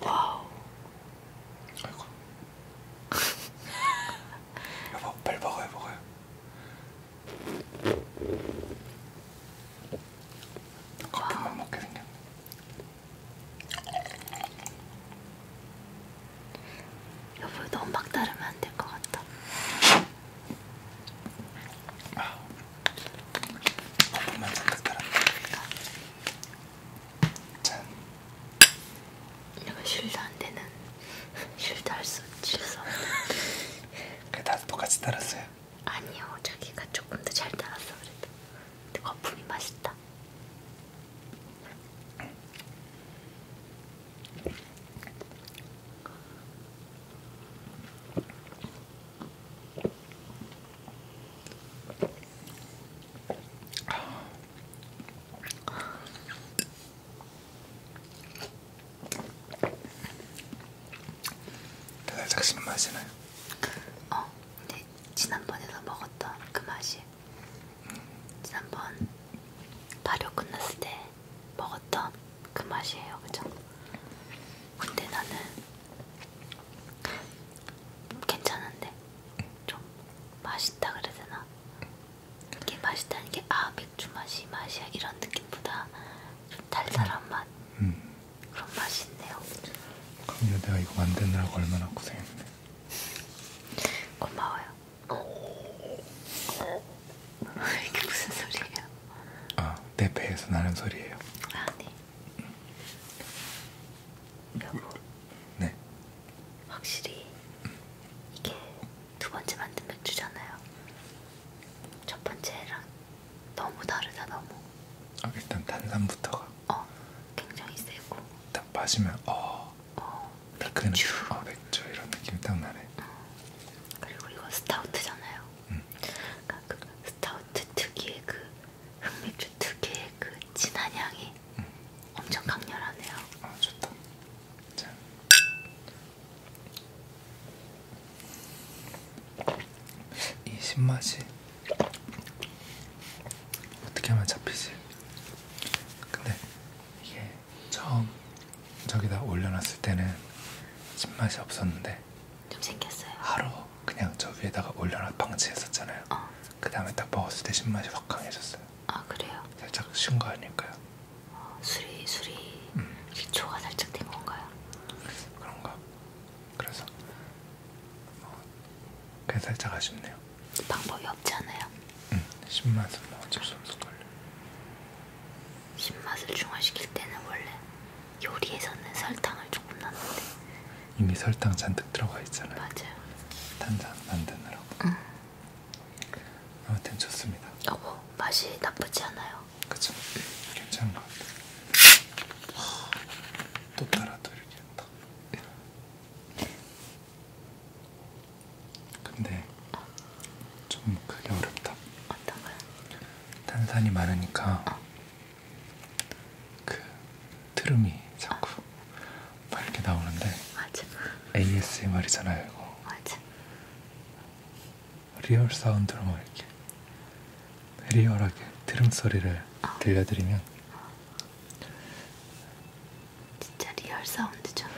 와우. 아이고. 여보, 빨리 먹어요, 먹어요. 커피만 먹게 생겼네. 여보 너무 막 따르면 안 될 것 같다. 거품만 잔뜩 따라. 짠. 내가 실드 안 되는 실드 할수 실수 없는. 그 다들 똑같이 따랐어요. 아니요 자기가 조금 더 잘 따랐어 그래도. 근데 거품이 맛있다. 달달삭신 맛이나요? 어, 근데 네. 지난번에서 먹었던 그 맛이 지난번 발효 끝났을 때 먹었던 그 맛이에요, 그죠? 근데 나는 괜찮은데 좀 맛있다 그래야 되나? 이게 맛있다는 게아 맥주 맛이 맛이야 이런 느낌보다 좀 달달한 맛 음. 그런 맛이 있네요. 그럼요, 내가 이거 만드느라고 얼마나 고생했네. 고마워요. 이게 무슨 소리예요? 아, 내 배에서 나는 소리예요. 아, 네. 여보. 음. 네. 확실히 이게 두 번째 만든 맥주잖아요. 첫 번째랑 너무 다르다 너무. 아, 일단 탄산부터가. 어, 굉장히 세고. 딱 마시면 어. 어. 달큰한 맥주. 어, 맥주 이런 느낌이 딱 나네. 음. 그리고 이건 스타우트잖아요. 음. 그러니까 그 스타우트 특유의 그 흑맥주 특유의 그 진한 향이 음. 엄청 강렬하네요. 아 좋다. 자. 이 신맛이 어떻게 하면 잡히지? 근데 이게 처음 저기다 올려놨을 때는 신맛이 없었는데 좀 생겼어요. 하루 그냥 저 위에다가 올려놨 방치했었잖아요. 어. 그 다음에 딱 먹었을 때 신맛이 확 강해졌어요. 아 그래요? 살짝 쉰 거 아닐까요? 어, 술이 술이 음. 기초가 살짝 된 건가요? 그런가. 그래서 어, 그게 살짝 아쉽네요. 방법이 없지 않아요? 응, 신맛은 뭐 어쩔 수 없을걸요. 신맛을 중화시킬 때는 원래 요리에서는 설탕을 조금 넣는데 이미 설탕 잔뜩 들어가 있잖아요. 맞아요. 탄산 만드느라고. 응. 아무튼 좋습니다. 어, 맛이 나쁘지 않아요. 그쵸? 괜찮은 것 같아. 또 따라 돌리겠다. 근데 좀 그게 어렵다. 어떤가요? 탄산이 많으니까 어. 그 트름이 자꾸 어. 막 이렇게 나오는데 맞아. ASMR이잖아요 이거. 맞아. 리얼 사운드로 막 이렇게 리얼하게 트름 소리를 어. 들려드리면 어. 진짜 리얼 사운드잖아.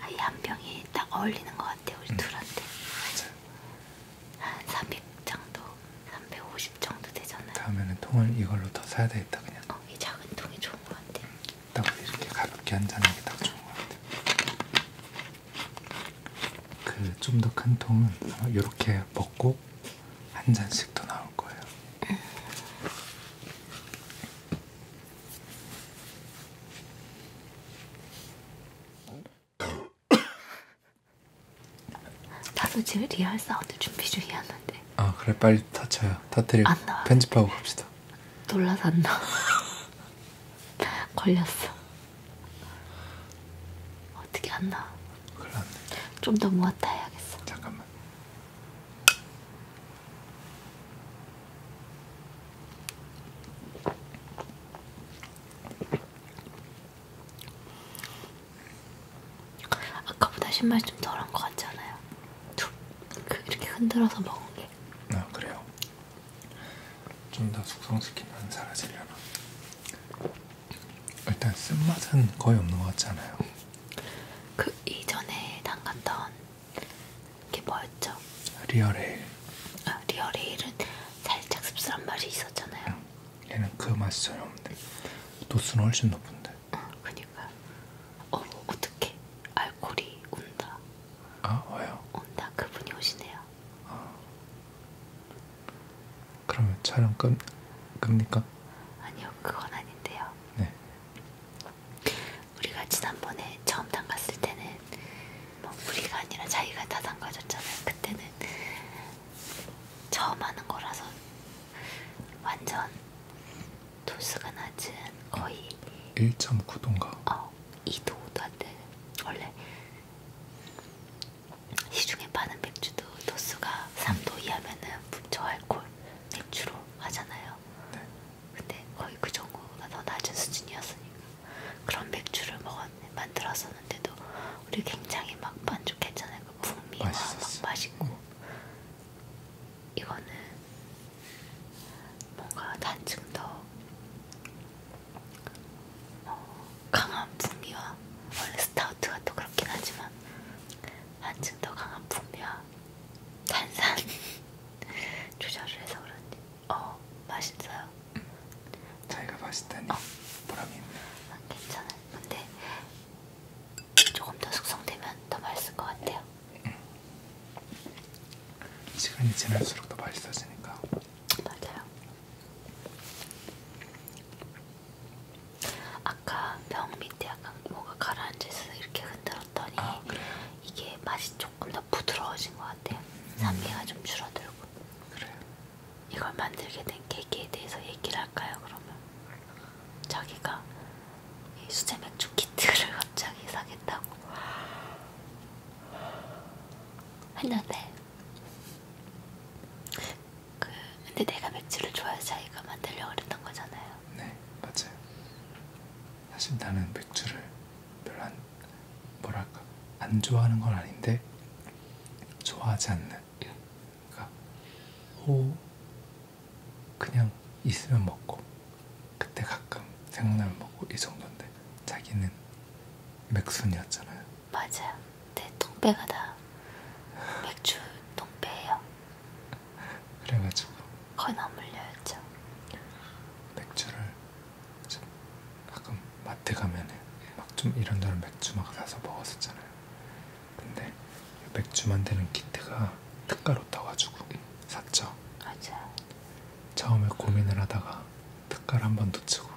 아이 한 병이 딱 어울리는 것 같아 우리 응. 음. 둘한테. 한300 정도, 350 정도 되잖아요. 다음에는 통을 이걸로 더 사야 되겠다 그냥. 어, 이 작은 통이 좋은 것 같아. 딱 이렇게 가볍게 한잔하기 딱 좋은 것 같아. 그 좀 더 큰 통은 이렇게 어, 벗고 한 잔씩 더 나올 거예요. 나도 지금 리얼 사운드 준비 중이었는데. 아 그래 빨리 터쳐요. 터트리고 편집하고 갑시다. 놀라서 안 나. 걸렸어. 어떻게 안 나? 큰일 났네. 좀더 모았다 해야겠어. 잠깐만. 아까보다 신맛이 좀 덜한 것 같지 않아요? 툭 그, 이렇게 흔들어서 먹은 게. 아 그래요. 좀 더 숙성시키면 사라지려나. 일단 쓴맛은 거의 없는 것 같잖아요. 그 이전에 담갔던 게 뭐였죠? 리얼에일. 아, 리얼에일은 살짝 씁쓸한 맛이 있었잖아요. 응. 얘는 그 맛이 전혀 없는데 도수는 훨씬 높은데. 응, 어, 그니까. 어, 어떻게 알코올이 온다. 아, 왜요? 온다. 그분이 오시네요. 아. 그러면 촬영 끝 끝니까? 아니요, 그건 아닌데요. 네. 우리가 지난번에 처음 담갔을 때는 뭐 우리가 아니라 자기가 다 담가줬잖아요. 그때는 처음 하는 거라서 완전 도수가 낮은 거의 1.9도인가? 어, 2도도 안 되는 원래 시중에 파는 맥주도 도수가 3도 이하면은 저알콜 맥주로 하잖아요. 네. 근데 거의 그 정도가 더 낮은 수준이었으니까 그런 맥주를 먹었 만들었었는데도 우리 굉장히 막 만족했잖아요. 그 풍미와 맛있었어. 막 맛있고 음. 이거는 뭔가 단층 더 어, 강한 풍미와 원래 스타우트가 또 그렇긴 하지만 한층 더 강한 풍미와 탄산 조절을 해서 그런지 어 맛있어요. 자기가 맛있다니 어. 보람이 있네. 아, 괜찮아. 근데 조금 더 숙성되면 더 맛있을 것 같아요. 응. 시간이 지날수록 더 맛있어지니까. 맞아요. 아까 병 밑에 약간 뭐가 가라앉아서 이렇게 흔들었더니 아, 그래. 이게 맛이 조금 더 부드러워진 것 같아요. 산미가 음. 좀 줄어들고. 그래요. 이걸 만들게 된 계기에 대해서 얘기를 할까요? 그러면 자기가 이 수제 맥주 키트를 갑자기 사겠다고 했는데 그 근데 내가 맥주를 좋아해서 자기가 만들려고 그랬던 거잖아요. 네, 맞아요. 사실 나는 맥주를 별로 안, 뭐랄까 안 좋아하는 건 아닌데 좋아하지 않는. 그러니까 호 그냥 있으면 먹고 그때 가끔 생각나면 먹고 이 정도인데 자기는 맥순이었잖아요. 맞아요. 내 네, 통배가 다 맥주 통배예요. 그래가지고 거의 안 물려였죠. 맥주를 좀 가끔 마트 가면 막좀 이런저런 맥주 막 사서 먹었었잖아요. 근데 맥주 만드는 키트가 특가로 떠가지고 샀죠. 맞아요. 처음에 고민을 하다가 특가를 한번 놓치고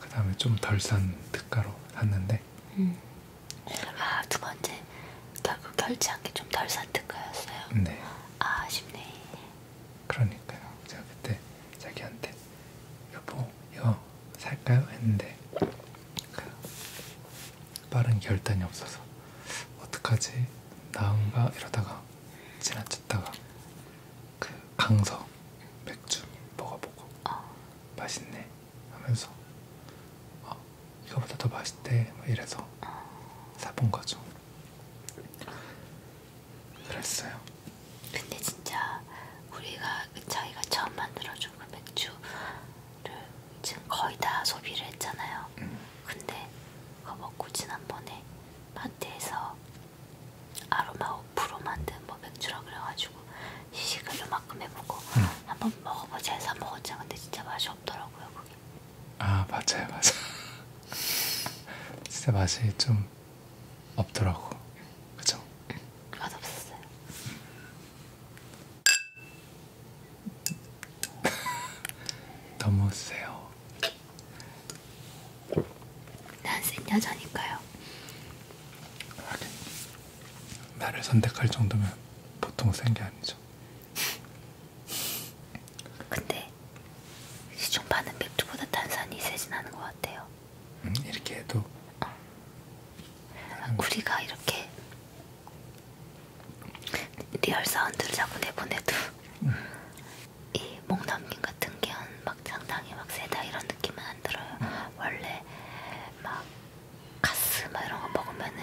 그 다음에 좀 덜 산 특가로 샀는데 음. 아두 번째 결국 결제한 게좀 덜 산 특가였어요? 네 아, 아쉽네 그러니까요 제가 그때 자기한테 여보 이거 살까요? 했는데 그 빠른 결단이 없어서 어떡하지? 나은가? 이러다가 지나쳤다가 그 강서 맥주 먹어보고 어. 맛있네 하면서 어, 이거보다 더 맛있대 뭐 이래서 어. 사본 거죠. 그랬어요. 근데 진짜 우리가 그 자기가 처음 만들어준 그 맥주를 지금 거의 다 소비를 했잖아요. 음. 근데 그거 먹고 지난번에 마트에서 아로마 5% 만든 뭐 맥주라 그래가지고 시식을 요만큼 해보고 응. 음. 한번 먹어보자 해서 먹었잖아. 근데 진짜 맛이 없더라고요. 그게. 아 맞아요 맞아. 진짜 맛이 좀 없더라고. 그죠? 맛없었어요. 너무 세요. 난센 여자니까요. 하긴 나를 선택할 정도면 보통 센 게 아니죠. 근데 시중 파는 맥주보다 탄산이 세진 않은 것 같아요. 음, 이렇게 해도 어. 아, 우리가 이렇게 리얼 사운드를 자꾸 내보내도 음. 이 목넘김 같은 게막 상당히 막 세다 이런 느낌은 안 들어요. 음. 원래 막 가스 막 이런 거 먹으면은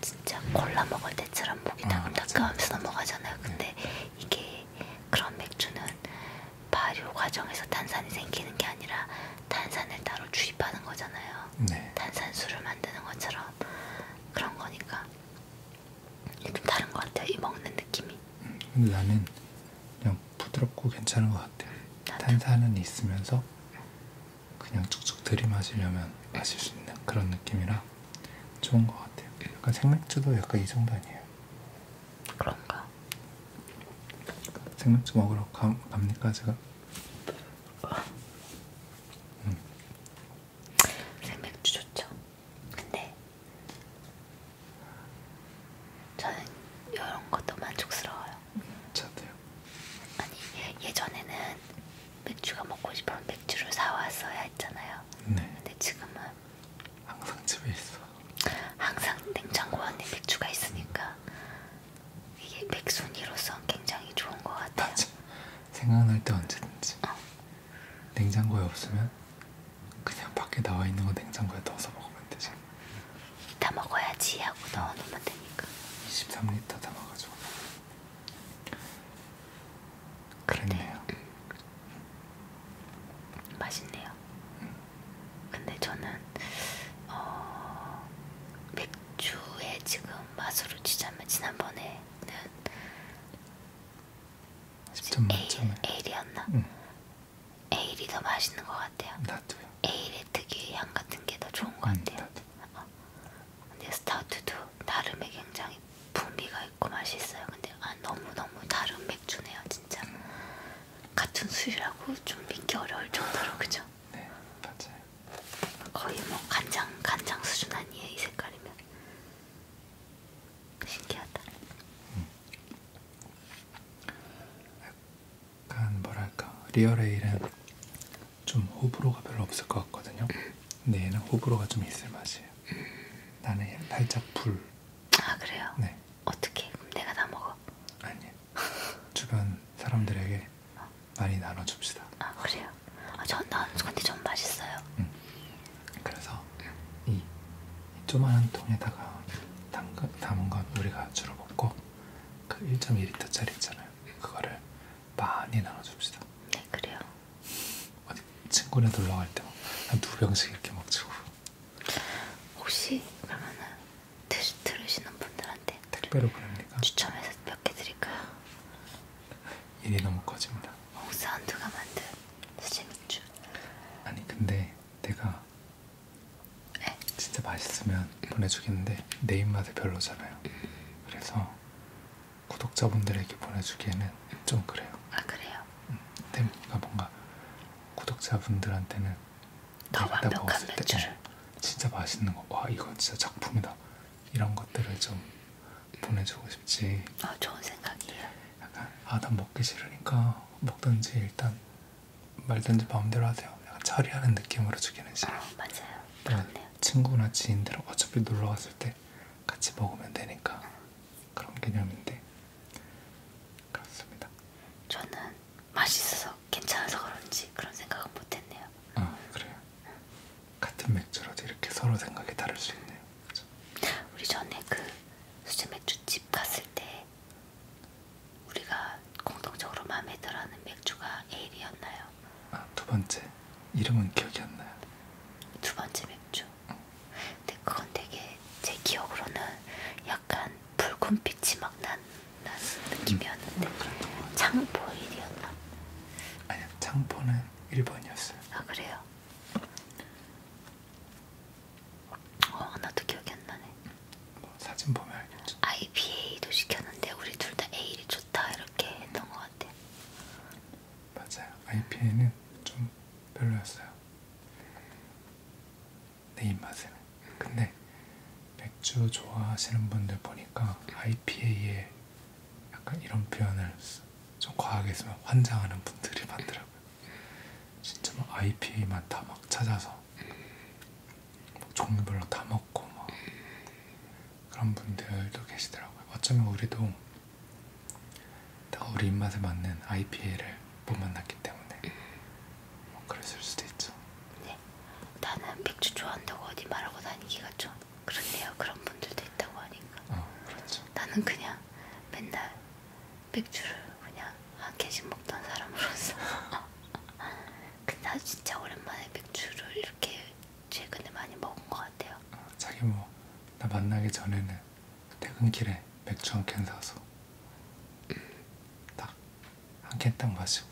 진짜 콜라 먹을 때처럼 목이 다금다금하면서 아, 넘어가잖아요. 근데 네. 이게 그런 맥주는 발효 과정에서 탄산이 생기는 게 아니라 탄산을 따로 주입하는 거잖아요. 네. 탄산수를 만드는 것처럼 그런 거니까 좀 다른 것 같아요. 이 먹는 느낌이. 음, 근데 나는 그냥 부드럽고 괜찮은 것 같아. 나도. 탄산은 있으면서 그냥 쭉쭉 들이마시려면 마실 수 있는 그런 느낌이라 좋은 것 같아요. 약간 생맥주도 약간 이 정도 아니에요? 그런가? 생맥주 먹으러 가, 갑니까 제가? 음. 생맥주 좋죠. 근데 네. 저는 이런 것도 만족스러워요. 저도요. 아니 예전에는 맥주가 먹고 싶으면 맥주를 사왔어야 했잖아요. 네. 근데 지금은 항상 집에 있어. 항상 냉장고 안에 맥주가 있으니까 이게 맥순이로서 굉장히 좋은 것 같아요. 맞아. 생각날 때 언제든지. 어. 냉장고에 없으면 그냥 밖에 나와 있는 거 냉장고에 넣어서 먹으면 되지. 다 먹어야지 하고 넣어놓으면 되니까. 23리터 담아가지고. 그랬네요. 근데, 음. 맛있네요. 음. 근데 저는 어, 맥주의 지금 맛으로 치자면 지난번에는 10점 만점에. 에일이었나? 응. 음. 에일이 더 맛있는 것 같아요. 나도요. 에일의 특유의 향 같은 게 더 좋은 것 음, 같아요. 나도. 어. 근데 스타우트도 나름의 굉장히 풍미가 있고 맛있어요. 근데 아, 너무 너무 다른 맥주네요, 진짜. 음. 같은 술이라고 좀 믿기 어려울 정도로 그죠? 네, 맞아요. 거의 뭐 간장 간장 수준 아니에요, 이 색깔이면. 신기하다. 음. 약간 뭐랄까 리얼에일은 좀 호불호가 별로 없을 것 같거든요. 근데 얘는 호불호가 좀 있을 맛이에요. 나는 얘는 살짝 불. 아 그래요? 네. 어떻게? 그럼 내가 다 먹어? 아니요. 주변 사람들에게 어. 많이 나눠줍시다. 아 그래요? 아, 전 난, 근데 전 맛있어요. 응. 그래서 이 조만한 통에다가 담가, 담은 건 우리가 주로 먹고 그 1.2리터짜리 있잖아요. 그거를 많이 나눠줍시다. 네, 그래요. 어디 친구네 놀러 갈때 뭐 한두 병씩 이렇게 먹자고. 혹시 그러면은 들, 들으시는 분들한테 택배로 보냅니까? 추첨해서 몇 개 드릴까요? 일이 너무 커집니다. 홍사운드가 만든 수제맥주. 아니 근데 내가 네? 진짜 맛있으면 보내주겠는데 내 입맛에 별로잖아요. 그래서 구독자분들에게 보내주기에는 좀 그래요. 아 그래요? 음, 그러니까 뭔가 구독자분들한테는 더 완벽한 어, 맥주를 어, 진짜 맛있는 거. 와 이건 진짜 작품이다. 이런 것들을 좀 보내주고 싶지. 아 좋은 생각이에요. 약간 아난 먹기 싫으니까 먹든지 일단 말든지 마음대로 하세요. 약간 처리하는 느낌으로 주기는 싫어. 아, 맞아요. 그렇네요. 친구나 지인들 어차피 놀러 왔을 때 같이 먹으면 되니까 그런 개념인데 그렇습니다. 저는 맛있어서 괜찮아서 그런지 그런 생각은 못했네요. 아 그래요. 같은 맥주라도 이렇게 서로 생각이 다를 수 있네요. 그렇죠? 우리 전에 그 수제 맥주집 갔을 때 우리가 공통적으로 마음에 들어하는 맥주가 에일이었나요? 아, 두 번째 이름은 기억이 안 나요. 두 번째 맥주. 응. 근데 그건 되게 제 기억으로는 약간 붉은 빛이 막난 음. 느낌이었는데 음, 창보일이었나? 아니요, 창포는 1번이었어요. 아, 그래요? 어, 하나도 기억이 안 나네. 뭐, 사진 보면 알겠죠. IPA도 시켰는데 우리 둘 다 A일이 좋다 이렇게 했던 것 같아. 맞아요. IPA는 좀 별로였어요. 내 입맛에는. 근데 맥주 좋아하시는 분들 보니까 IPA에 약간 이런 표현을 좀 과하게 쓰면 환장하는 분들이 많더라고요. 진짜 막 IP만 다 막 찾아서 막 뭐 종류별로 다 먹고 막 그런 분들도 계시더라고요. 어쩌면 우리도 다 우리 입맛에 맞는 IPA를 못 만났기 때문에 뭐 그랬을 수도 있죠. 네, 나는 맥주 좋아한다고 어디 말하고 다니기가 좀 그렇네요. 그런 분들도 있다고 하니까. 어, 그렇죠. 나는 그냥 맨날 맥주를 그냥 한 개씩 먹던 사람으로서. 근데 나 진짜 오랜만에 맥주를 이렇게 최근에 많이 먹은 것 같아요. 어, 자기 뭐 나 만나기 전에는 퇴근길에 맥주 한 캔 사서 음. 딱한 캔 딱 마시고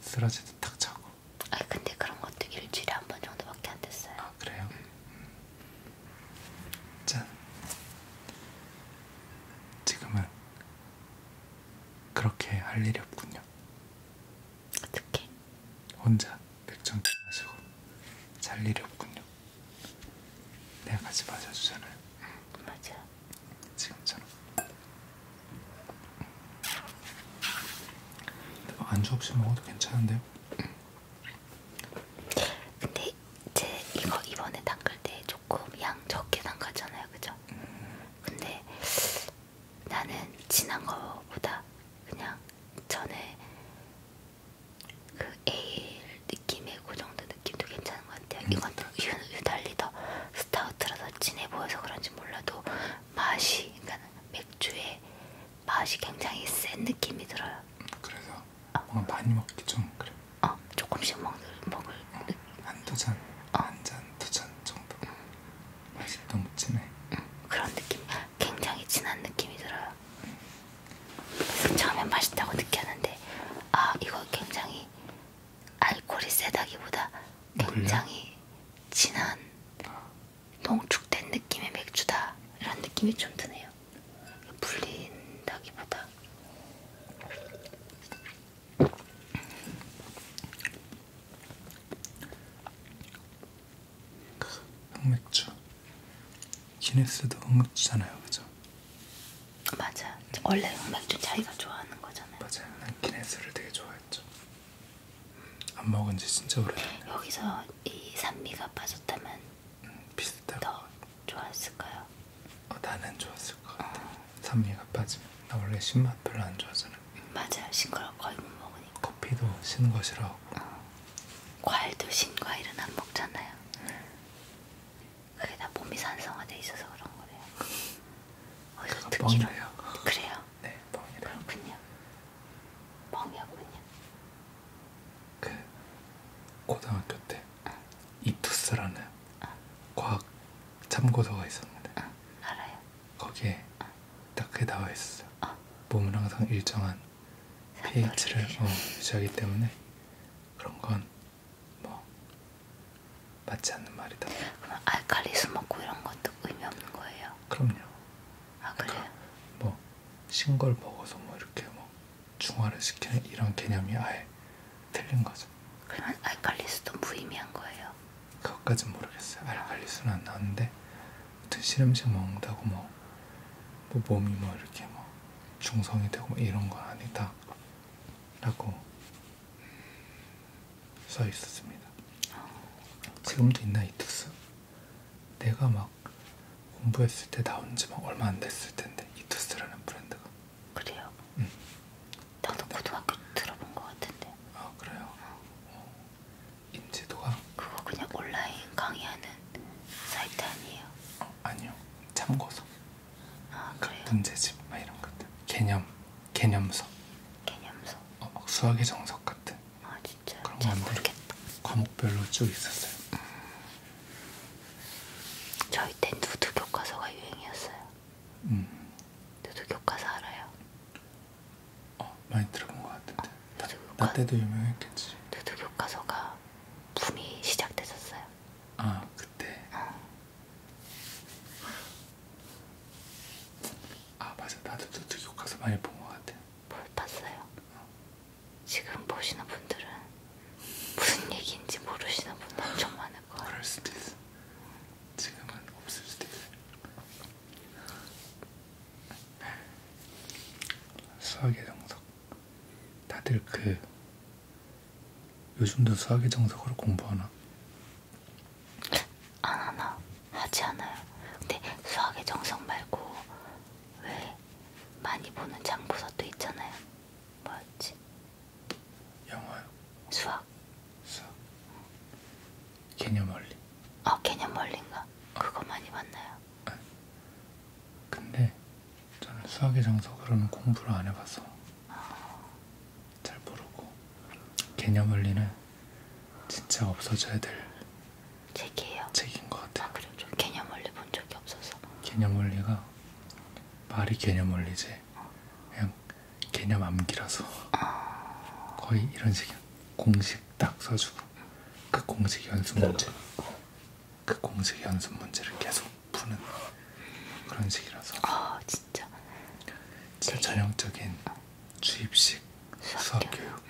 쓰러지듯 탁 자고 아 근데 그런 것도 일주일에 한 번 정도밖에 안 됐어요. 아 그래요? 음. 짠. 지금은 그렇게 할 일이 없군요. 어떻게? 혼자 맥주 한잔 마시고 잘 일이 없군요. 내가 네, 같이 마셔주잖아요. 응, 맞아. 지금처럼. 안주 없이 먹어도 괜찮은데요? 근데 제 이거 이번에 담글 때 조금 양 적게 담갔잖아요, 그죠? 근데 나는 진한 거보다 그냥 전에 그 에일 느낌의 그 정도 느낌도 괜찮은 것 같아요. 음. 이건 유, 유달리 더 스타우트라서 진해 보여서 그런지 몰라도 맛이 그러니까 맥주의 맛이 굉장히 센 느낌이 들어요. 그래서 어. 많이 먹기 좀 그래. 어 조금씩 먹, 먹을 어, 한두 잔, 어. 한잔 두 잔 정도. 음. 맛이 너무 진해. 음, 그런 느낌, 굉장히 진한 느낌이 들어요. 음. 그래서 처음엔 맛있다고 느꼈는데 아 이거 굉장히 알코올이 세다기보다 어, 굉장히 진한 농축된 느낌의 맥주다 이런 느낌이 좀 드네요. 불린다기보다 흑맥주 기네스도 흑맥주잖아요, 그죠? 맞아. 원래 흑맥주 자기가 좋아하는 거잖아요. 맞아요. 난 기네스를 되게 좋아해. 맛있죠. 안 먹은 지 진짜 오래됐네요. 여기서 이 산미가 빠졌다면 음, 비슷한 더 좋았을까요? 어, 나는 좋았을 것 같아. 어. 산미가 빠지면 나 원래 신맛 별로 안 좋아하잖아. 맞아, 신걸 거의 못 먹으니까. 커피도 신거 싫어하고. 어. 과일도 신 과일은 안 먹잖아요. 네. 그게 다 몸이 산성화돼 있어서 그런 거래요. 얼른 아, 듣기로 뻥이래요. 그래요? 네, 뻥이래. 그렇군요. 뻥이었군요. 그 고등학교 때 어. 이투스라는 어. 과학 참고서가 있었는데 어. 알아요. 거기에 어. 딱 그게 나와 있었어요. 어. 몸은 항상 일정한 pH를 어, 유지하기 때문에 그런 건뭐 맞지 않는 말이다. 그럼 아, 알칼리 아, 수 먹고 이런 것도 의미 없는 거예요? 그럼요. 아 그러니까 그래요? 그러니까 뭐 신걸 먹어서 뭐 이렇게 뭐 중화를 시키는 이런 개념이 아예 틀린 거죠. 그러면 알칼리수도 무의미한 거예요? 그것까진 모르겠어요. 알칼리수는 안 나왔는데 아무튼 실험식 먹는다고 뭐, 뭐 몸이 뭐 이렇게 뭐 중성이 되고 뭐 이런 건 아니다 라고 써 있었습니다. 지금도 있나 이 특수? 내가 막 공부했을 때 나온 지 막 얼마 안 됐을 텐데 이투스라는 브랜드가 그래요? 응. 나도 고등학교 들어본 것 같은데 아 그래요? 어. 인지도가 그거 그냥 온라인 강의하는 사이트 아니에요? 어, 아니요 참고서 아, 그 문제집 막 이런 것들 개념 개념서 개념서 어, 막 수학의 정석 같은 아 진짜요? 그런 건데 과목별로 쭉 있었어요 음. 저희 때 누드 교과서가 유행이었어요 음. 누드 교과서 알아요? 어 많이 들어본 것 같은데 어, 나, 교과... 나 때도 유명했겠지 누드 교과서가 붐이 시작됐었어요 아 그때 어. 아 맞아 나도 저쪽 그 가서 많이 본 것 같아. 뭘 봤어요? 어. 지금 보시는 분들은 무슨 얘기인지 모르시는 분들 엄청 많을 거예요. 그럴 수도 있어. 지금은 없을 수도 있어. 네. 수학의 정석. 다들 그 요즘도 수학의 정석으로 공부하나? 안 하나. 하지 않아요. 근데 수학의 정석 말고 왜 많이 보는 장부서도 있잖아요. 뭐였지? 영어요. 수학. 수학. 개념 원리. 아 개념 원리인가? 아. 그거 많이 봤나요? 아니. 네. 근데 저는 수학의 정석으로는 공부를 안 해봐서. 아. 잘 모르고 개념 원리는 진짜 없어져야 될 책이에요. 책인 것 같아요. 아 그럼 좀 개념 원리 본 적이 없어서. 개념 원리가 말이 개념 원리지 어. 그냥 개념 암기라서 어. 거의 이런 식이야. 공식 딱 써주고 그 공식 연습 문제 그 공식 연습 문제를 계속 푸는 그런 식이라서. 아 진짜. 진짜 네. 전형적인 어. 주입식 수학 교육.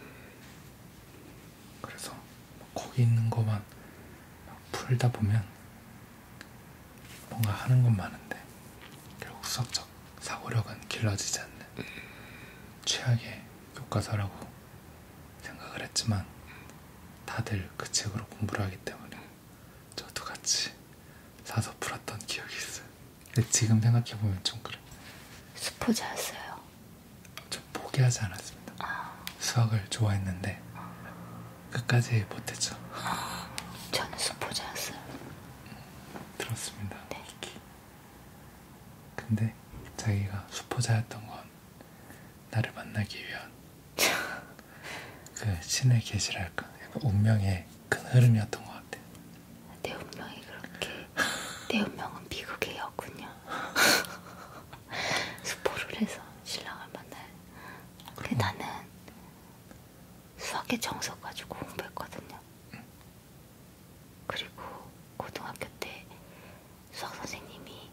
그래서 뭐 거기 있는 것만 풀다 보면 뭔가 하는 건 많은데 결국 수학적 사고력은 길러지지 않는 최악의 교과서라고 생각을 했지만 다들 그 책으로 공부를 하기 때문에 저도 같이 사서 풀었던 기억이 있어요. 근데 지금 생각해보면 좀 그래. 스포자였어요? 좀 포기하지 않았습니다. 아... 수학을 좋아했는데 끝까지 못했죠. 아... 저는 스포자였어요. 들었습니다. 네. 근데 자기가 수포자였던 건 나를 만나기 위한 그 신의 계시랄까 그 약간 운명의 큰 흐름이었던 것 같아요. 내 운명이 그렇게 내 운명은 미국의 여군요. 스포를 해서 신랑을 만날. 근데 음. 나는 수학의 정석 가지고 공부했거든요. 응. 그리고 고등학교 때 수학 선생님이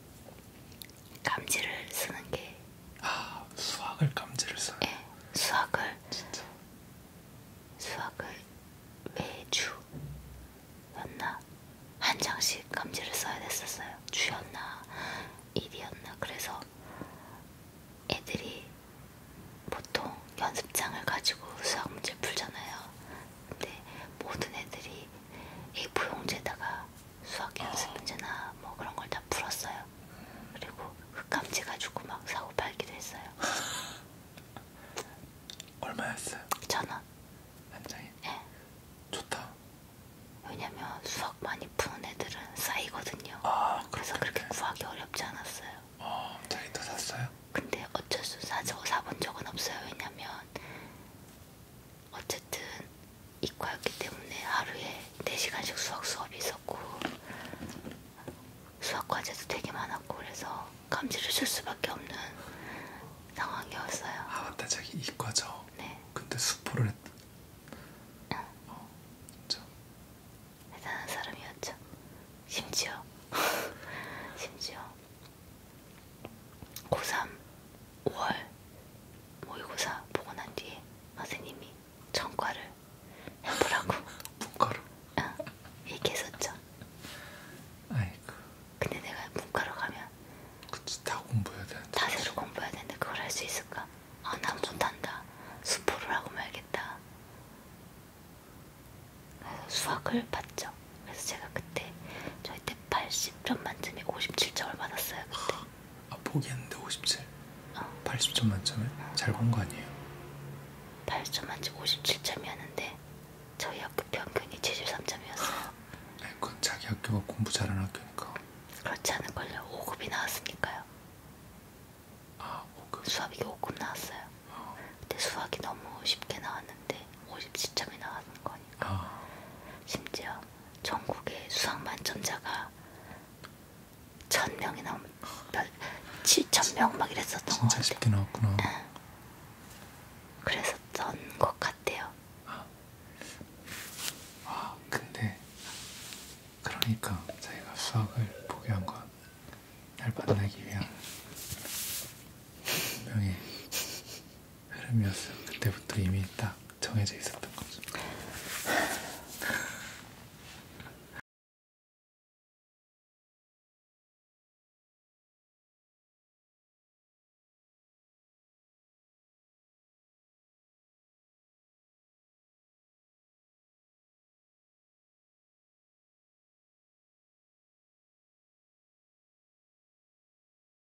감지를 쓰는 게. 아 수학을 감지를 써요. 예, 네, 수학을 진짜. 수학을 매주였나 한 장씩 감지를 써야 됐었어요. 주였나 일이었나 그래서 애들이 보통 연습장을 가지고 수학 문제 풀잖아요. 근데 모든 애들이 A4용지에다가 수학 연습 문제나 뭐 그런 걸 다 풀었어요. 그리고 흑감지 가지고 막 사고 팔기도 했어요. 얼마였어요? 천 원. 한 장에? 예. 네. 좋다. 왜냐면 수학 많이 푸는 애들은 쌓이거든요. 아, 그래서 그렇게 구하기 어렵지 않았어요. 어, 아, 자기도 샀어요? 근데 어쩔 수 사지 사본 적은 없어요. 왜냐면 어쨌든 이과였기 때문에 하루에 4시간씩 수학 수업이 있었고 수학 과제도 되게 많았고 그래서 감지를 쓸 수밖에 없는 상황이었어요. 아 맞다 자기 이과죠. 네. 근데 수포를 했. 응. 어, 진짜. 대단한 사람이었죠. 심지어 심지어 고3 5월 모의고사 보고 난 뒤에 선생님이 전과를 해보라고 문과로? 응, 어, 얘기했었죠. 아이고. 근데 내가 문과로 가면 그치, 다 공부해야 되는데 다새로 공부해야 되는데 그걸 할 수 있을까? 아, 난 못한다. 수포를 하고 말겠다. 그래서 수학을 봤죠. 그래서 제가 그때 저희 180점 만점에 57점을 받았어요. 그때. 아 포기했는데 57? 어. 80점 만점에? 어. 잘본 거 아니에요? 8점 만점 57점이었는데 저희 학교 평균이 73점이었어요. 아니, 그건 자기 학교가 공부 잘하는 학교니까. 그렇지 않을걸요. 5급이 나왔으니까요. 아 5급. 수학이 5급 나왔어요. 어. 근데 수학이 너무 쉽게 나왔는데 57점이 나왔는 거니까. 아. 심지어 전국의 수학 만점자가 천 명이 넘, 몇 칠천 명막 이랬었던 것 같아요. 쉽게 나왔구나. 응. 예. 그랬었던 것 같아요. 아, 아 근데 그러니까 자기가 수학을 포기한 건날 만나기 위한 분명히 흐름이었어요. 그때부터 이미 딱 정해져 있었던 거죠.